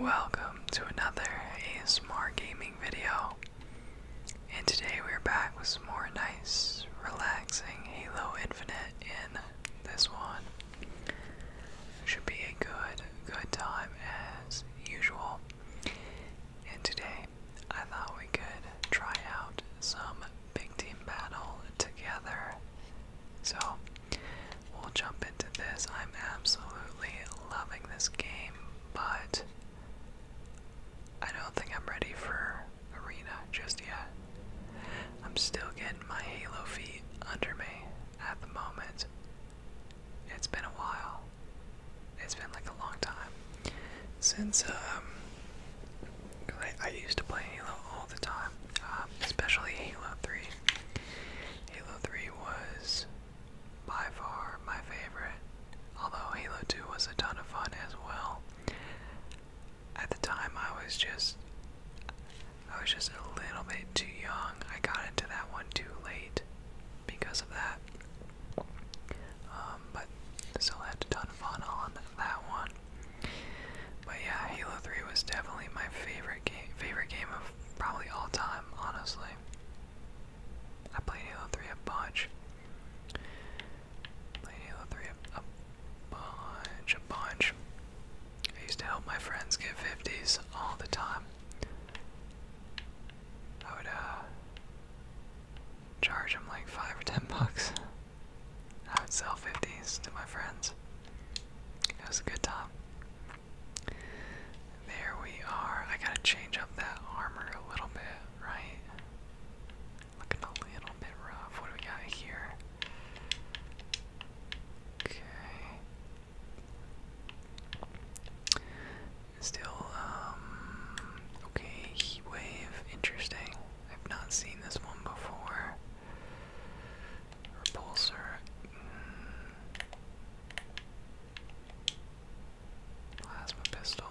Welcome to another ASMR gaming video. And today we're back with some more nice, relaxing Halo Infinite in this one. Should be a good, good time as usual. And today I thought we could try out some big team battle together so we'll jump into this. I'm absolutely loving this game, but I don't think I'm ready for Arena just yet. I'm still getting my Halo feet under me at the moment. It's been a while. It's been like a long time since um I, used to play Halo all the time, um, especially Halo 3. Halo 3 was by far my favorite, although Halo 2 was a ton of fun as well. At the time I was just I was just a little bit too young. I got into that one too late because of that. Um, but still had a ton of fun on that one. But yeah, Halo 3 was definitely my favorite game favorite game of probably all time, honestly. I played Halo 3 a bunch. Played Halo 3 a, bunch, a bunch. I used to help my friends get 50s all the time. I would uh, charge them like 5 or 10 bucks. I would sell 50s to my friends. It was a good time. There we are. I gotta change up that armor a little bit, right? Looking a little bit rough. What do we got here? Okay. Still, um, okay, heat wave. Interesting. I've not seen this one before. Repulsor. Mm, plasma pistol.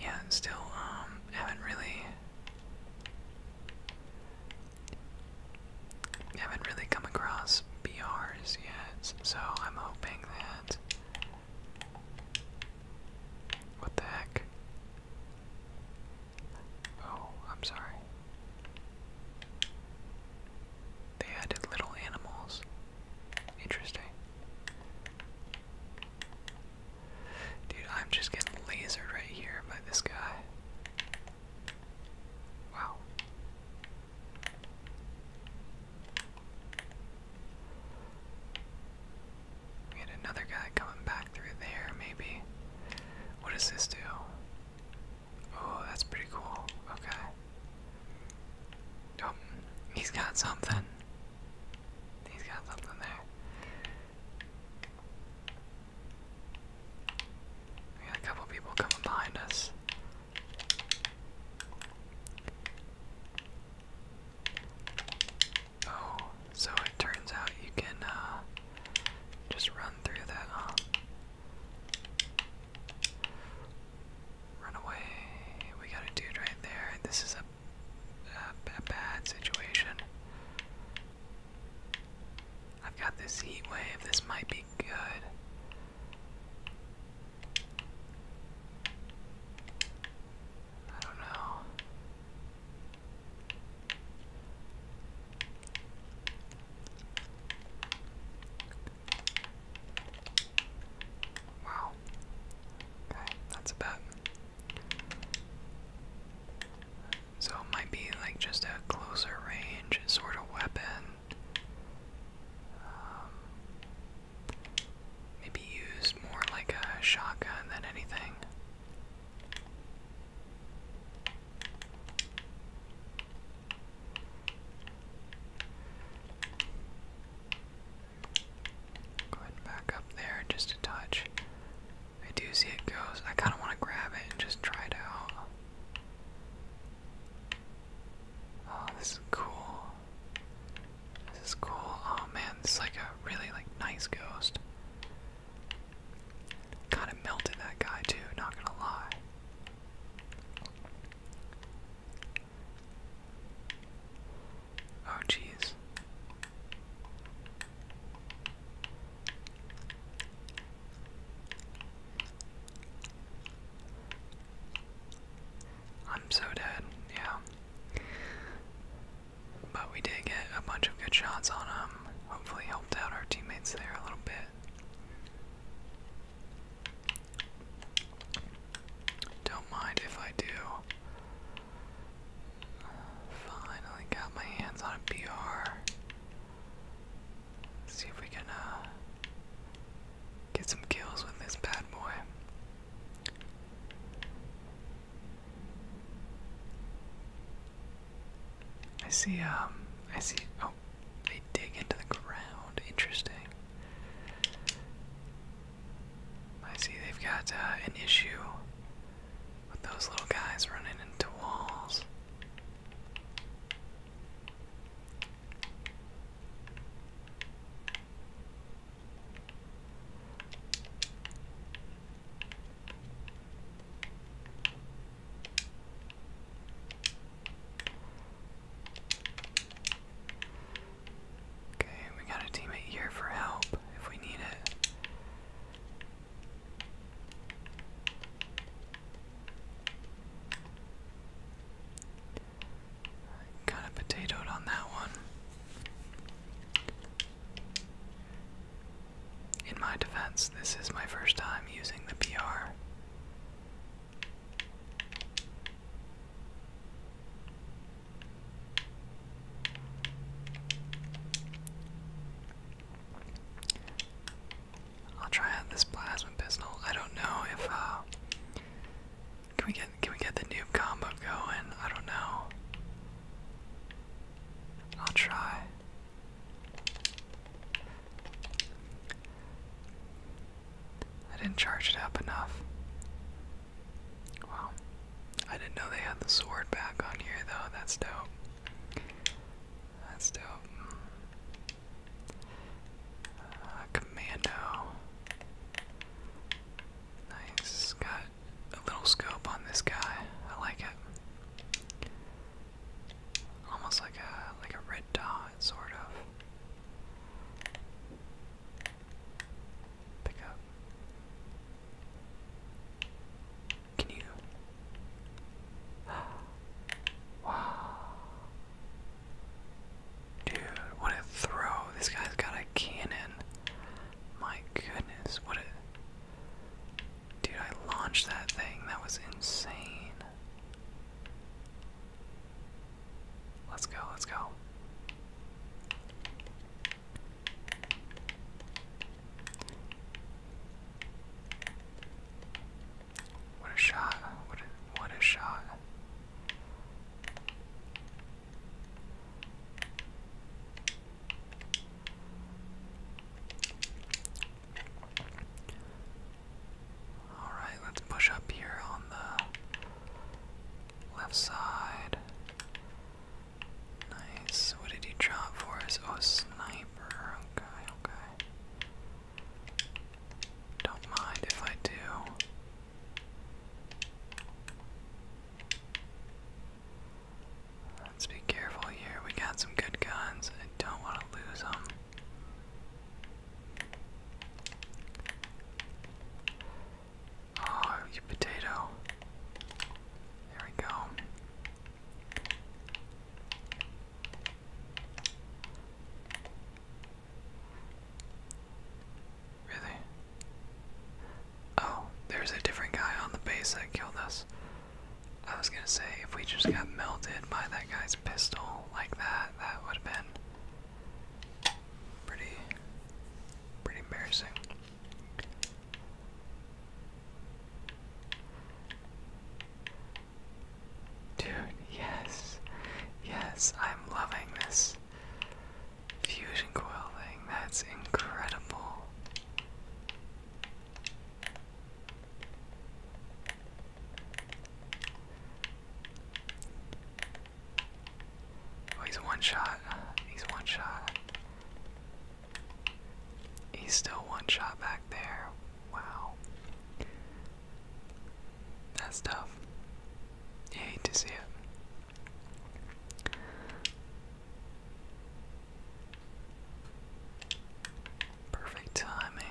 Yeah, still, um, haven't really. Haven't really come across BRs yet, so I'm hoping that what the heck? Oh, I'm sorry. They added little animals. Interesting. Dude, I'm just getting lasered right here by this guy. Wow. We had another guy coming back through there, maybe. What does this do? Oh, that's pretty cool. Okay. Oh, he's got something. He's got something there. We got a couple people coming behind us. Oh, so it turns out you can uh, just run through that, huh? Run away. We got a dude right there. This is a, a, a bad situation. I've got this heat wave. This might be good. I don't know. Wow. Okay, that's a bet. So it might be like just a closer range sort of weapon. Um, maybe used more like a shotgun than anything. Go ahead back up there just a touch. I do see it goes. I kind of want to grab it and just try it out. Oh, this is cool. This is cool. Oh man, this is like a really like nice ghost. Kinda melted that guy too, not gonna lie. Oh jeez. I'm so dead, yeah. But we did get a bunch of good shots on him. Hopefully, helped out our teammates there a little bit. Don't mind if I do. finally got my hands on a BR. see if we can uh, get some kills with this bad boy. I see, um, I see, oh, they dig into the ground, interesting. I see they've got uh, an issue with those little guys running into walls. Okay, we got a teammate here for help if we need it. Kind of potatoed on that one. In my defense, this is my first time using the PR. I'll try out this plasma pistol. I don't know if uh can we get can we get the new combo going? I don't know. I'll try. I didn't charge it up enough. Wow. I didn't know they had the sword back on here though. That's dope. That's dope. Uh, commando. Nice. Got a little scope on this guy. I like it. Almost like a like a red dot, sort of. Pick up. Can you? Wow. Dude, what a throw. This guy's got a cannon. My goodness, what a dude! I launched that thing. That was insane. Let's go. Let's go. What a shot. What a what a shot. All right, let's push up here on the left side. Nice. What did he drop for us? Oh, sniper. Okay, okay. Don't mind if I do. Let's be careful here. We got some good guns. I don't want to lose them. Oh, you potato. There we go. Really? Oh, there's a different guy on the base that killed us. I was gonna say, if we just got melted by that guy's pistol like that, that would have been pretty, pretty embarrassing. Dude, yes, yes, I'm loving this. Fusion coil thing, that's incredible. Oh, he's one shot. He's one shot. He's still one shot back there. Wow. That's tough. You hate to see it. Perfect timing.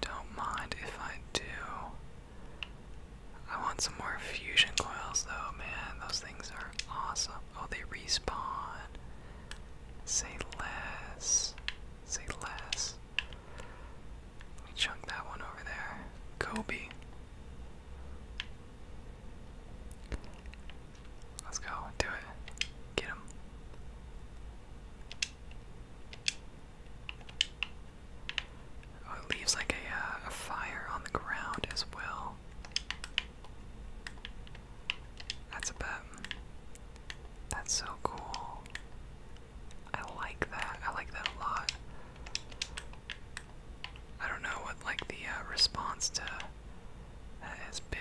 Don't mind if I do. I want some more fusion coils though, man. Those things are awesome. Oh, they respawn. Say less. Say less. Let chunk that one over there. Kobe. Let's go. Do it. Get him. Oh, it leaves like a, uh, a fire on the ground as well. That's a bet. That's so cool. I like that. I like that a lot. I don't know what like the uh, response to that has been,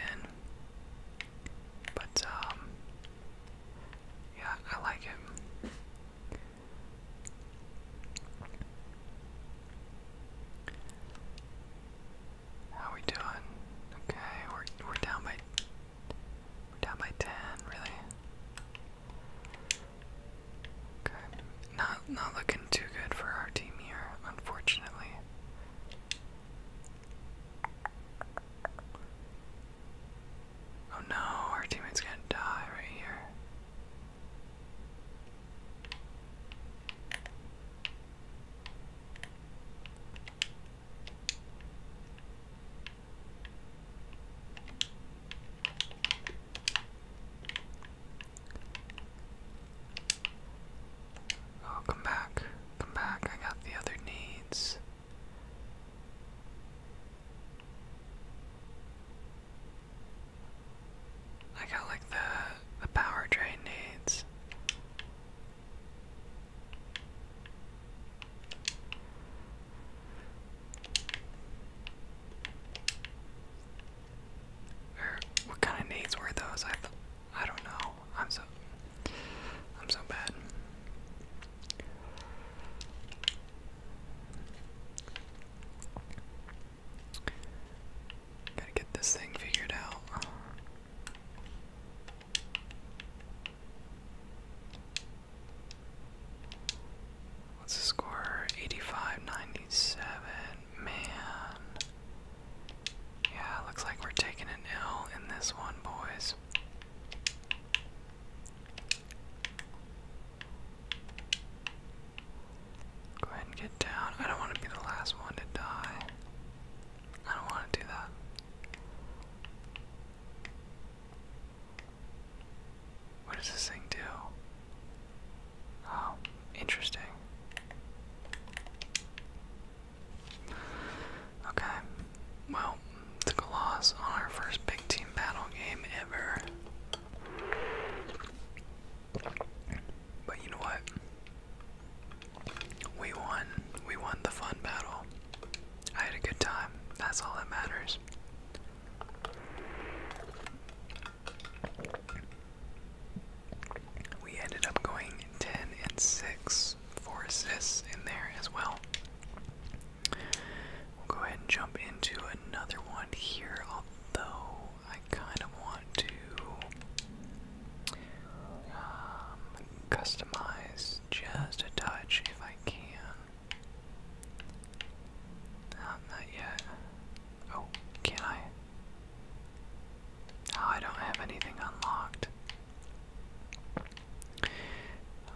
but um, yeah, I like him. How we doing? Okay, we're we're down by down by ten, really not not looking too good for our team here, unfortunately. Oh no, our teammate's gonna die right here. Oh, back. Come back. I got the other needs. I got like the the power drain needs. Or what kind of nades were those? I th I don't know. I'm so I'm so bad. Gotta get this thing figured out. What's the score? 85 97. Man. Yeah, looks like we're taking an L in this one, boys. Go ahead and get down. I don't want to be the last one to die. I don't want to do that. What does this thing do? Oh, interesting. Okay, well, took a loss on our first big team battle game ever. But you know what? We won. We won the fun battle. I had a good time. That's all that matters. We ended up going 10 and 6, for assists in there as well. We'll go ahead and jump into another one here, although I kind of want to um, customize just a touch if I can. Um, not yet. Oh, can I? Oh, I don't have anything unlocked.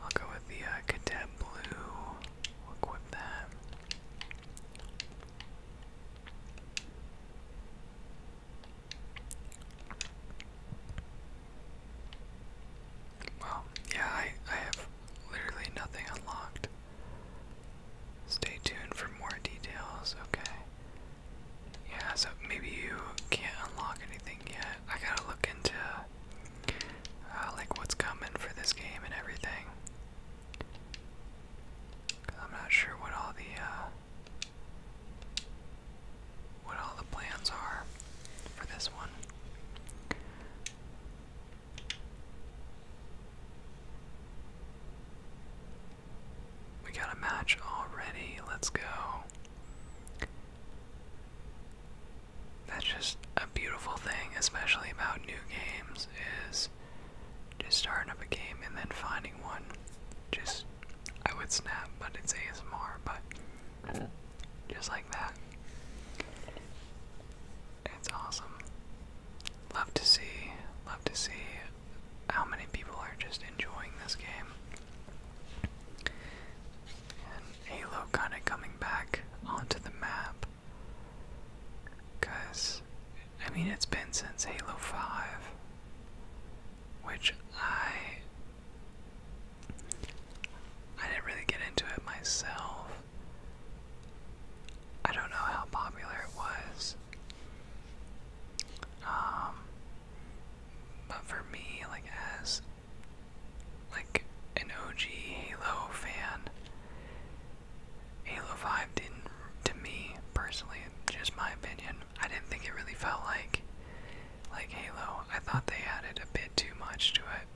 I'll go with the uh, cadet blue. equip that. Well, yeah, I, I have literally nothing unlocked. Stay tuned for more details, okay. Yeah, so maybe you can't unlock anything yet. I gotta look into uh, like what's coming for this game and everything. I'm not sure what all the uh, what all the plans are for this one. We got a match already. Let's go. That's just a beautiful thing, especially about new games, is just starting up a game and then finding one. Just, I would snap, but it's ASMR, but just like that. It's awesome. Love to see, love to see how many people are just enjoying this game. Halo kind of coming back onto the map. Because, I mean, it's been since Halo 5, which I. I didn't really get into it myself. I don't know how popular it was. Um, but for me, like as like an OG Halo fan, Halo 5 did to me personally, just my opinion, I didn't think it really felt like like Halo. I thought they added a bit too much to it.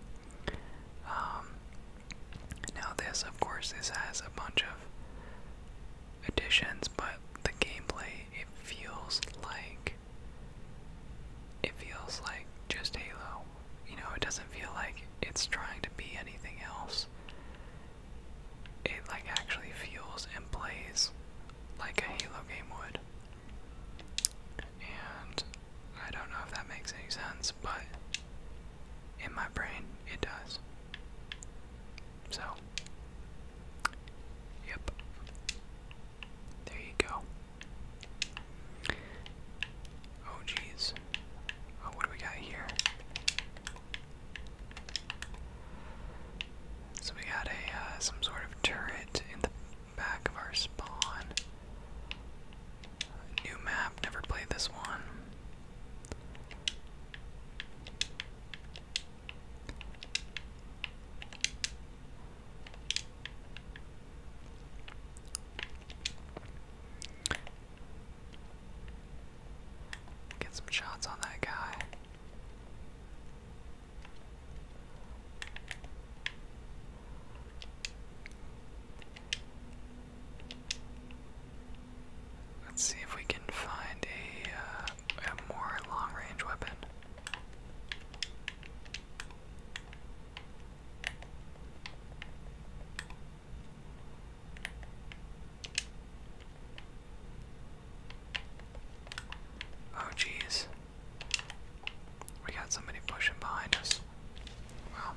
Um, now this, of course, this has a bunch of additions, but the gameplay it feels like it feels like just Halo. You know, it doesn't feel like it's trying to be anything else. It like actually feels and plays like a Halo game would. And I don't know if that makes any sense, but in my brain it does. So, yep. There you go. Oh, jeez. Oh, what do we got here? So we got a uh, some sort of turret in the back of our spawn. New map, never played this one. Get some shots on that guy. Let's see if we can find a, uh, more long range weapon. Oh, geez. We got somebody pushing behind us. Wow.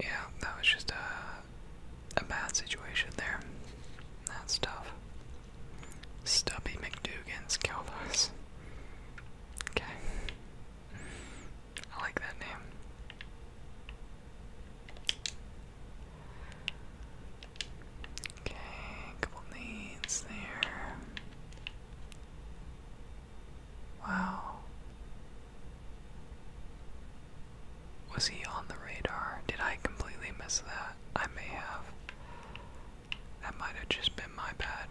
Yeah, that was just a, a bad situation there. That's tough. Stubby McDougan's killed us. Okay. I like that name. Okay, couple needs there. Wow. Was he on the radar? Did I completely miss that? I may have. That might have just been my bad.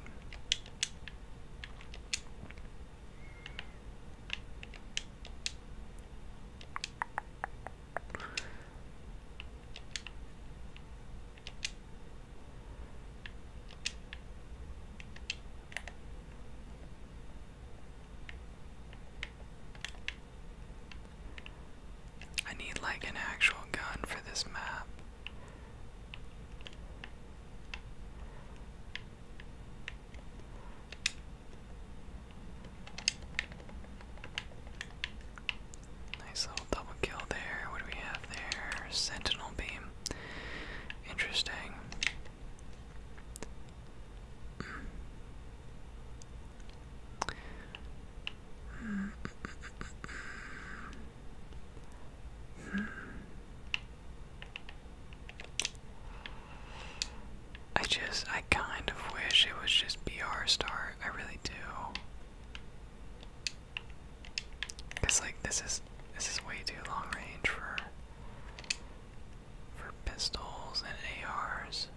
I need like an actual gun for this map. Nice little double kill there. What do we have there? Sentinel beam. Interesting. I just, I kind of wish it was just BR star. I really do. Cause like this is this is way too long range for for pistols and ARs.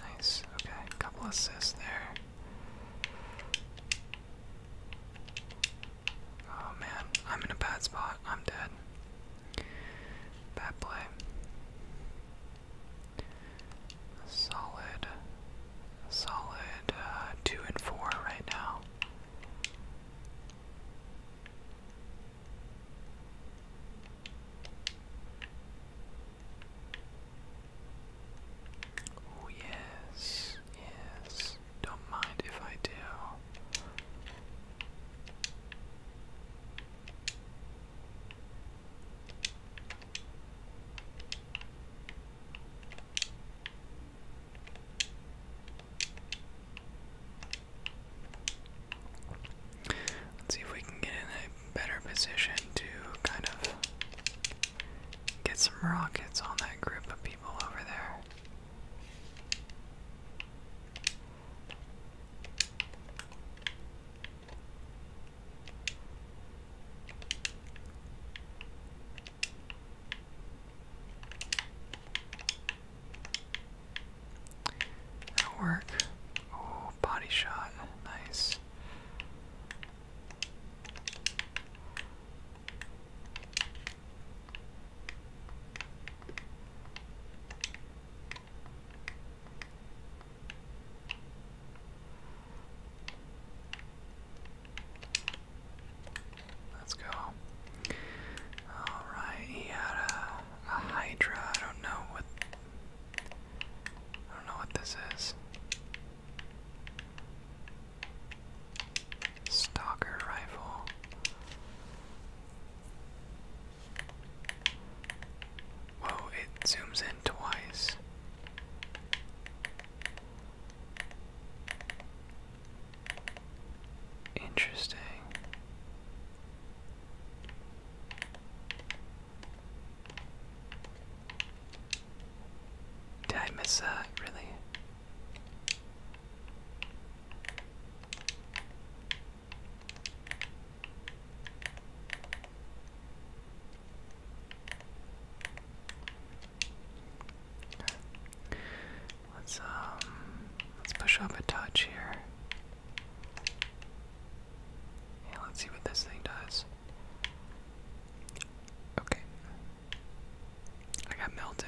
Nice. Okay, couple assists there. Oh man, I'm in a bad spot. I'm dead. Bad play. Solid, solid uh, two and four right now. Oh, yes, yes. Don't mind if I do. Let's see if we can get in that better position to kind of get some rockets on that group of people over there. work. Oh, body shot. Nice. Let's go. Alright, he had a, a Hydra. I don't know what I don't know what this is. Stalker rifle. Whoa, it zooms in twice. Interesting. Did I miss that, really? Let's um let's push up a touch here let's see what this thing does. Okay. I got melted.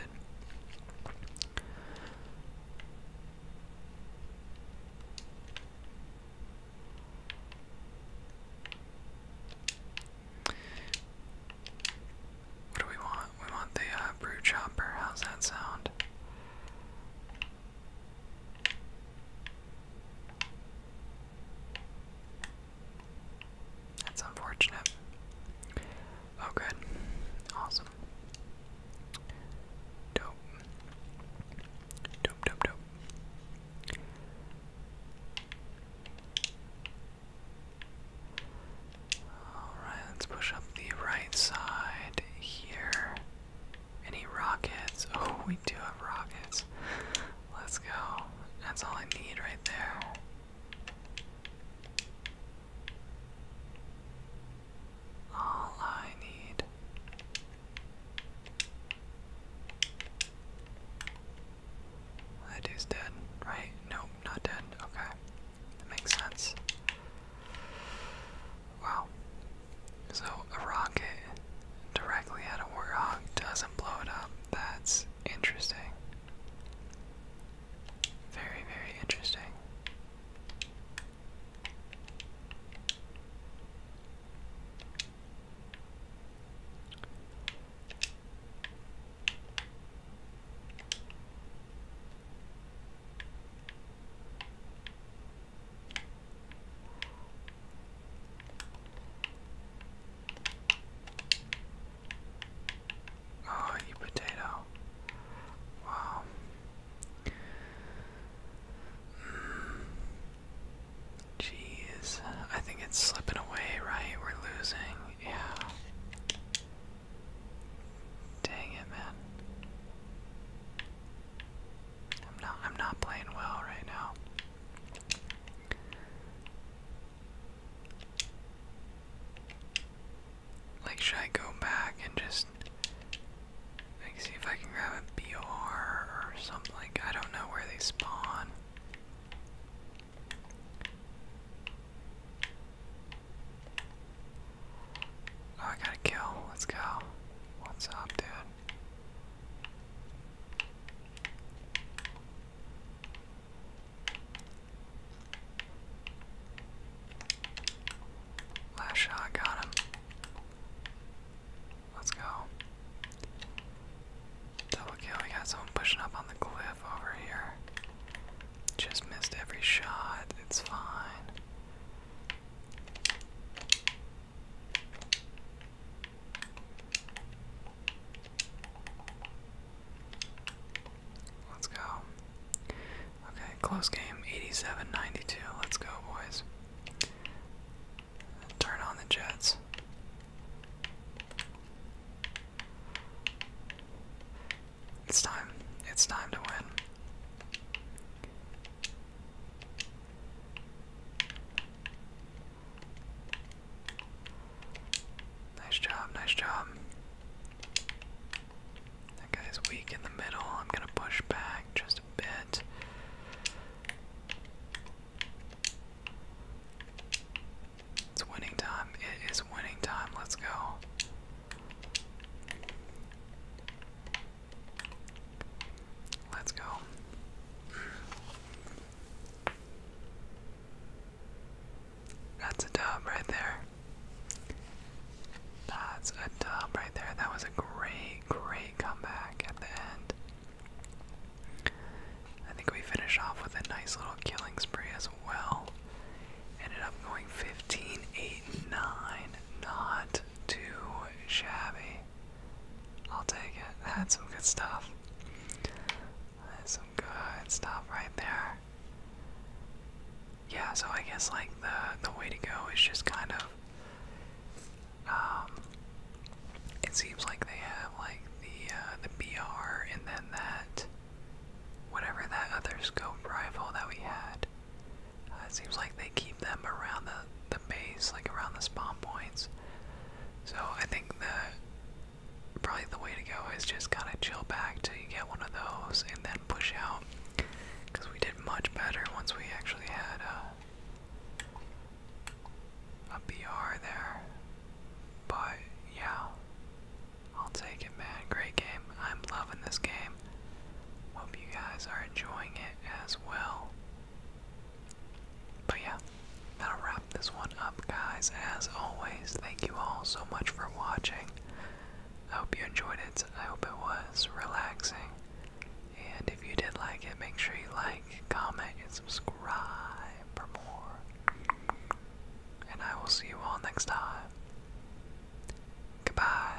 What do we want? We want the uh, brew chopper. How's that sound? That's unfortunate. Oh, good. Awesome. Dope. Dope, dope, dope. Alright, let's push up the right side here. Any rockets? Oh, we do have rockets. Let's go. That's all I need right there. All I need. That dude's dead, right? Nope, not dead. Okay. That makes sense. Wow. So a rocket directly at a warthog doesn't blow it up. That's interesting. Very, very interesting. Oh, potato. Wow. Mm. I think it's slipping away, right? We're losing. Yeah. Dang it, man. I'm not I'm not playing well right now. Like should I go back and just see if I can grab a BR or something I don't know where they spawn. Oh, I got a kill. Let's go. What's up, dude? Last shot, got him. Let's go. Double kill, we got someone pushing up on the cliff over here. Just missed every shot, it's fine. Let's go. Okay, close game 87 92. Let's go, boys. Turn on the Jets. It's time. It's time to win. Nice job, nice job. That guy's weak in the middle. I'm gonna push back just a bit. It's winning time. It is winning time. Let's go. Let's go. That's a dub right there. That's a dub right there. That was a great, great comeback at the end. I think we finish off with a nice little killing spree as well. Ended up going 15 9. Not too shabby. I'll take it. That's some good stuff. some good stuff right there. Yeah, so I guess like the the way to go is just kind of um, it seems like they have like the uh, the BR and then that whatever that other scope rival that we had it seems like they keep them around the, the base, like around the spawn points. So I think the probably the way to go is just kind of chill back till you get one of those and then push out. Because we did much better once we actually had uh, a, a BR there. But yeah, I'll take it, man. Great game. I'm loving this game. Hope you guys are enjoying it as well. But yeah, that'll wrap this one up, guys. As always, thank you all so much for watching. I hope you enjoyed it. I hope it was relaxing. And if you did like it, make sure you like, comment, and subscribe for more. And I will see you all next time. Goodbye.